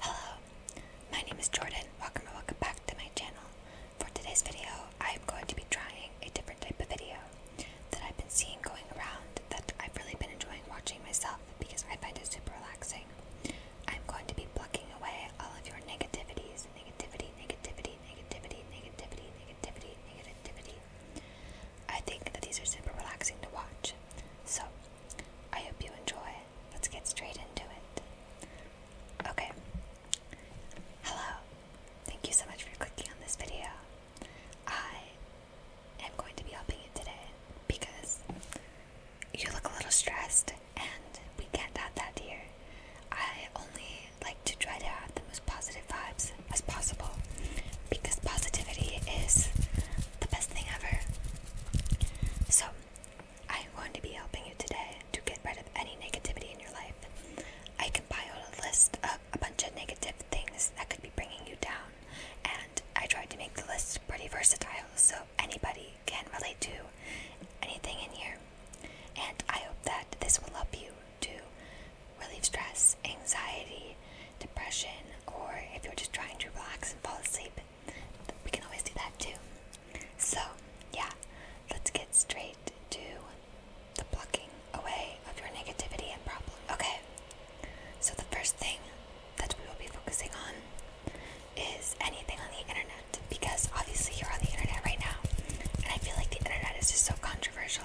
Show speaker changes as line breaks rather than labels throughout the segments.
Hello, my name is Jordan. Welcome and welcome back to my channel. For today's video, I'm going to be trying a different type of video that I've been seeing going around that I've really been enjoying watching myself because I find it super relaxing. I'm going to be plucking away all of your negativities negativity, negativity, negativity, negativity, negativity, negativity, negativity, I think that these are super relaxing to watch. So, I hope you enjoy. Let's get straight into it. Okay. Hello. Thank you so much for clicking on this video. I am going to be helping you today because you look a little stressed and we can't that here. I only like to try to have the most positive vibes as possible because positivity is the best thing ever. So, I'm going to be helping you today to get rid of any negativity in your life. I compiled a list of a bunch of negative things that could be bringing you down, and I tried to make the list pretty versatile so anybody can relate to anything in here. And I hope that this will help you to relieve stress, anxiety, depression, or if you're just trying to relax and fall asleep, we can always do that too. So, yeah, let's get straight to the plucking away of your negativity and problem. Okay, so the first thing that we will be focusing on is anything on the internet because obviously you're on the internet right now, and I feel like the internet is just so controversial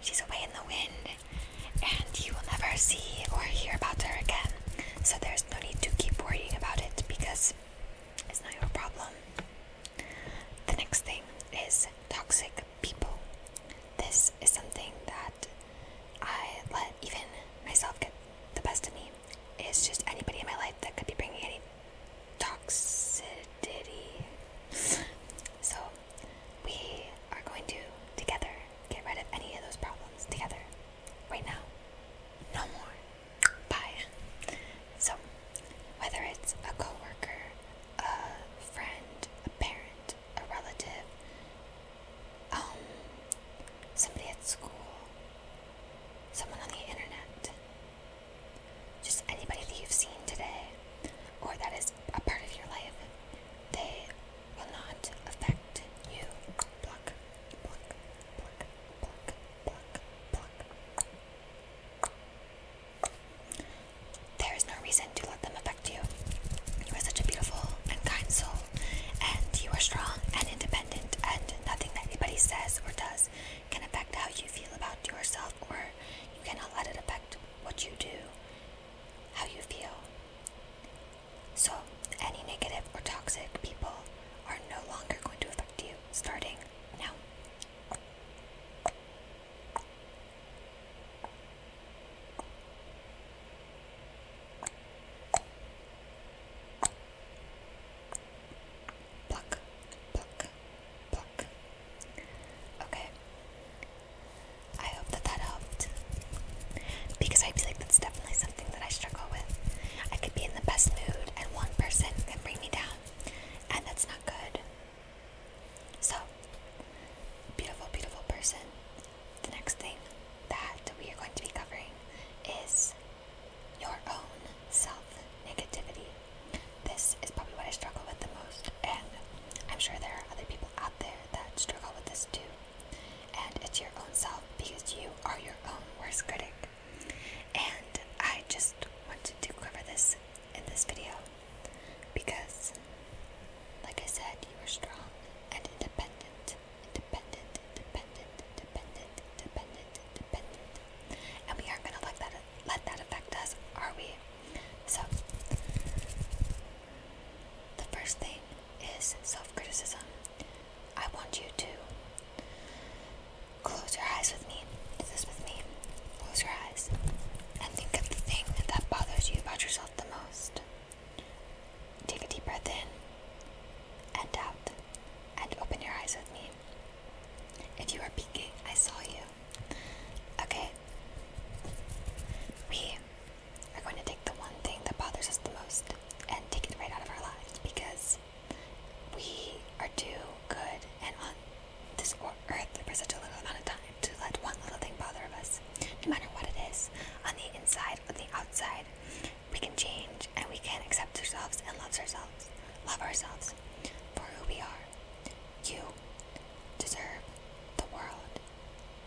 She's away in the wind, and you will never see or hear about her again. So there's no need to keep worrying about it because it's not your problem. The next thing is toxic people. This is something that I let even myself get the best of me. It's just anybody in my life that could be bringing any toxicity. So we are going to together get rid of any of those problems together right now. No more. Bye. So, whether it's a coworker, a friend, a parent, a relative, um, somebody at school, someone on the internet, just anybody that you've seen today or that is a part of your life, they will not affect you. There is no reason to let them affect you. You are such a beautiful and kind soul, and you are strong and independent, and nothing that anybody says or does can affect how you feel about yourself, or you cannot let it affect what you do how you feel. So, any negative or toxic people are no longer going to affect you starting now. Pluck, pluck, pluck. Okay, I hope that that helped. Because I feel like that's definitely something that I struggle with. I could be in the best mood, and one person can bring me down. And that's not good. So, beautiful, beautiful person. The next thing that we are going to be covering is your own self negativity. This is probably what I struggle with the most, and I'm sure there are other people out there that struggle with this too. And it's your own self because you are your own worst critic. And I just wanted to cover this in this video because, like I said, you are strong and independent, independent, independent, independent, independent, independent. And we aren't gonna let that let that affect us, are we? So, the first thing is self criticism. I want you to close your eyes with me. Do this with me. Close your eyes and think of the thing that bothers you about yourself the most. Take a deep breath in and out and open your eyes with me. If you are peeking, I saw you. Okay. We are going to take the one thing that bothers us the most and take it right out of our lives because we are too good and on this earth for such a little amount of time to let one little thing bother us. No matter what it is, on the inside or the outside, we can change and we can accept ourselves and love ourselves. Love ourselves for who we are. You deserve the world.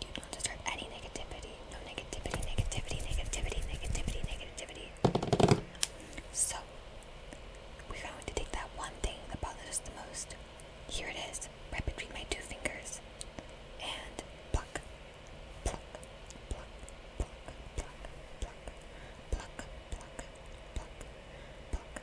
You don't deserve any negativity. No negativity, negativity, negativity, negativity, negativity. So, we're to take that one thing that bothers us the most. Here it is, right between my two fingers. And pluck, pluck, pluck, pluck, pluck, pluck, pluck, pluck, pluck, pluck,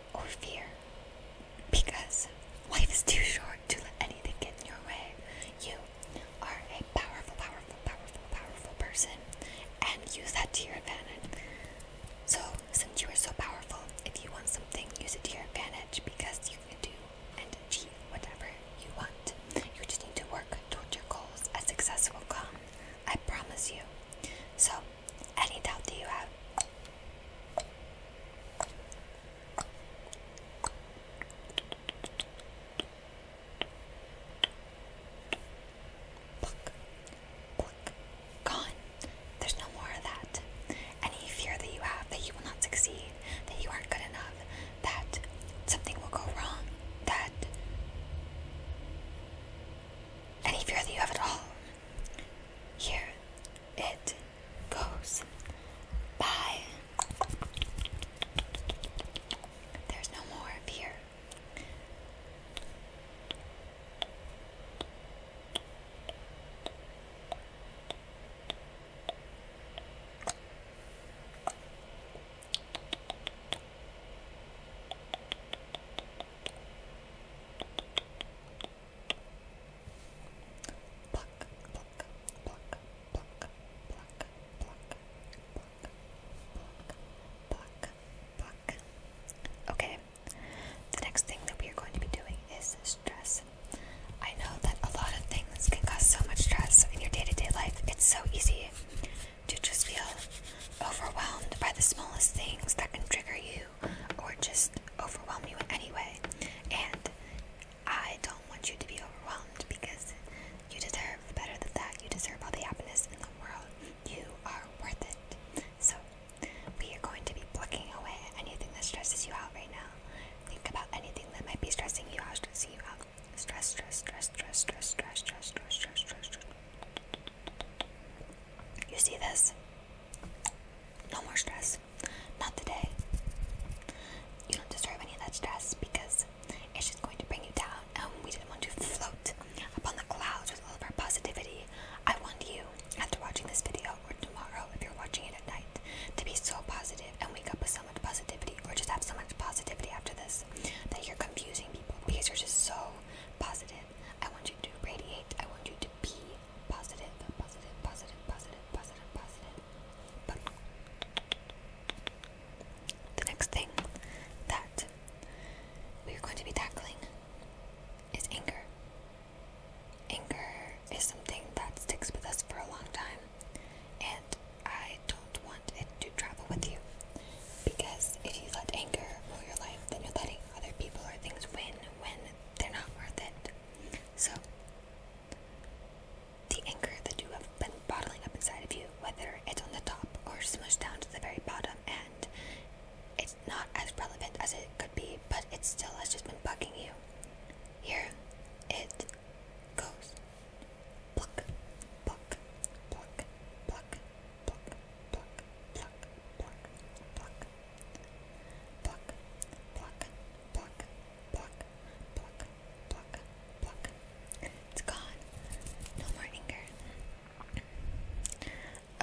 or fear because life is too short to let anything get in your way. You are a powerful, powerful, powerful, powerful person and use that to your advantage. So, since you are so powerful, if you want something, use it to your advantage because you can do and achieve whatever you want. You just need to work toward your goals, and success will come. I promise you. So, any doubt do you have? Pluck, pluck, gone. There's no more of that. Any fear that you have that you will not succeed, that you aren't good enough, that something will go wrong, that any fear that you have at all. Here, it goes by. There's no more up Okay, the next thing that we are going to be doing is stress. I know that a lot of things can cause so much stress in your day to day life. It's so easy to just feel overwhelmed by the smallest things that can trigger you or just overwhelm you in any way. And I don't want you to be overwhelmed because you deserve better than that. You deserve all the happiness in the world. You are worth it. So, we are going to be plucking away anything that stresses you out right now. Think about anything that might be stressing you out, stressing you out. Stress, stress, stress, stress, stress, stress, stress, stress, stress, stress, stress. You see this? No more stress. Not today. You don't deserve any of that stress because it's just going to bring you down. And we didn't want to float upon the clouds with all of our positivity. I want you, after watching this video or tomorrow, if you're watching it at night, to be so positive and wake up with so much positivity or just have so much positivity after this that you're confusing people because you're just so positive I want you to radiate. I want you to be positive, positive, positive, positive, positive, positive. But the next thing that we are going to be tackling is anger. Anger is something that sticks with us for a long time, and I don't want it to travel with you. Because if you let anger rule your life, then you're letting other people or things win when they're not worth it. So, the anger that you have been bottling up inside of you, whether it's on the top or smushed down to the very bottom, and it's not as relevant as it could be, but it still has just been bugging you. Here it goes. Pluck, pluck, pluck, pluck, pluck, pluck, pluck, pluck, pluck, pluck, pluck, pluck, pluck, pluck, pluck, pluck. It's gone. No more anger.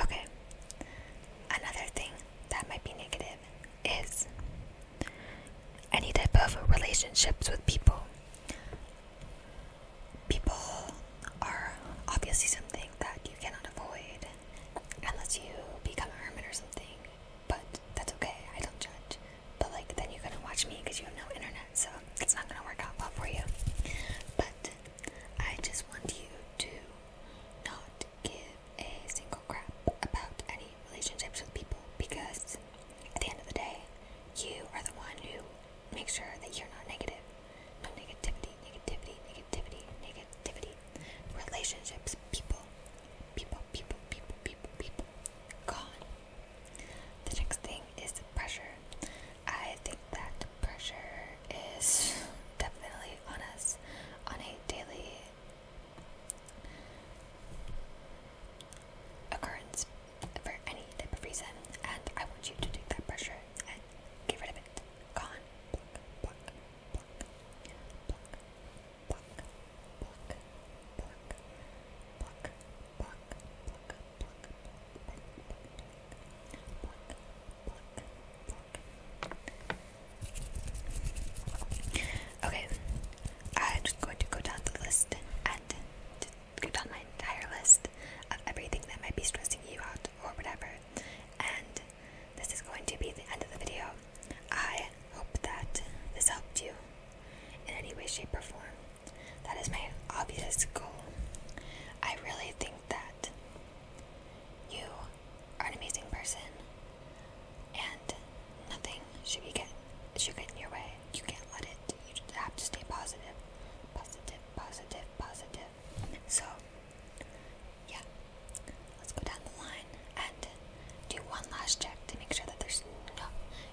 Okay. Another thing that might be negative is any type of relationships with people people are obviously something that you cannot avoid unless you become a hermit or something. But that's okay, I don't judge. But like, then you're gonna watch me because you have no internet, so it's not gonna work out well for you. But I just want you to not give a single crap about any relationships with people because at the end of the day, you are the one who make sure that you're not negative. No negativity, negativity, negativity, negativity. Relationships, people, people, people, people, people, people. Gone. The next thing is pressure. I think that pressure is definitely on us on a daily occurrence for any type of reason, and I want you to take that pressure and get rid of it. Gone. Pluck, pluck, pluck, pluck, pluck, pluck, pluck, pluck, pluck, pluck, pluck, pluck, pluck, pluck. Okay, I'm just going to go down the list and go down my entire list of everything that might be stressing you out or whatever. And this is going to be the end of the video. I hope that this helped you in any way, shape, or form. That is my obvious goal. I really think that you are an amazing person and nothing should, be get, should get in your way. You can't let it. You just have to stay positive. So, yeah. Let's go down the line and do one last check to make sure that there's no,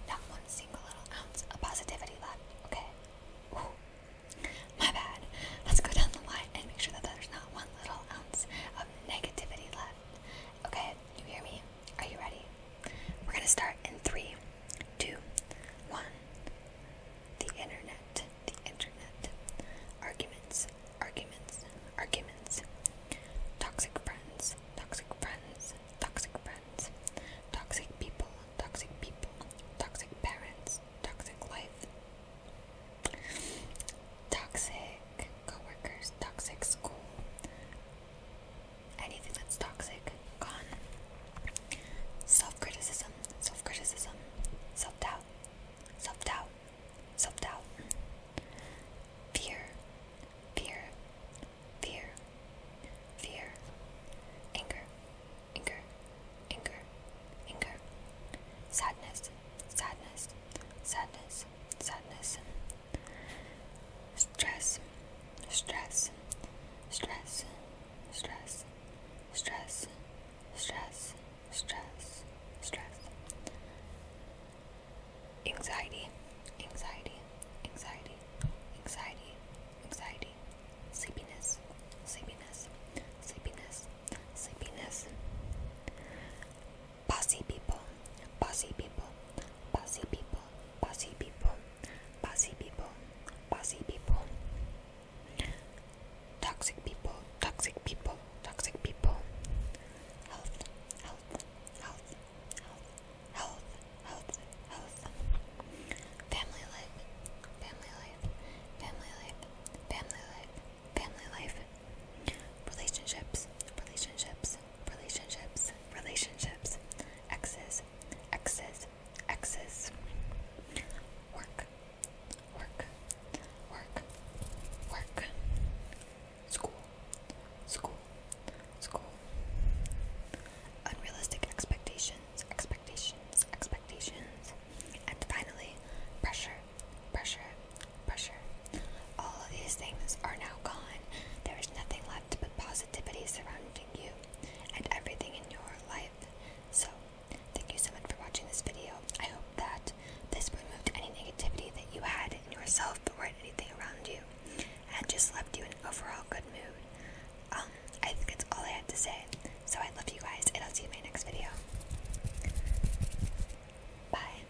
not one single little ounce of positivity left. Okay? Ooh. My bad. Let's go down the line and make sure that there's not one little ounce of negativity left. Okay? You hear me? Are you ready? We're gonna start in three, two, one. The internet, the internet. Arguments, arguments, arguments. Toxic friends, toxic friends, toxic friends. Toxic people, toxic people. Toxic parents, toxic life. Toxic co workers, toxic school anything that's toxic gone. Self criticism, self criticism, self doubt, self doubt, self doubt. Fear, fear, fear, fear. Anger, anger, anger, anger. Sadness, sadness, sadness, sadness. Stress, stress, stress, stress, stress, stress, stress, stress. Anxiety, anxiety, anxiety, anxiety, anxiety. Sleepiness, sleepiness, sleepiness, sleepiness. Bossy people, bossy people, bossy people, bossy people, bossy people, bossy people. Toxic people, toxic people, toxic people. Health, health, health, health, health, health, health. Family life, family life, family life, family life, family life. Relationships, relationships, relationships, relationships, relationships, exes, exes, exes, work, work, work, work, school, school, school, unrealistic expectations, expectations, expectations, and finally, pressure, pressure, pressure. All of these things are now gone. There is nothing left but positivity surrounding you and everything in your life. So, thank you so much for watching this video. I hope that this removed any negativity that you had in yourself or anything around you and just left you in overall good mood. Um, I think that's all I had to say. So, I love you guys, and I'll see you in my next video. Bye.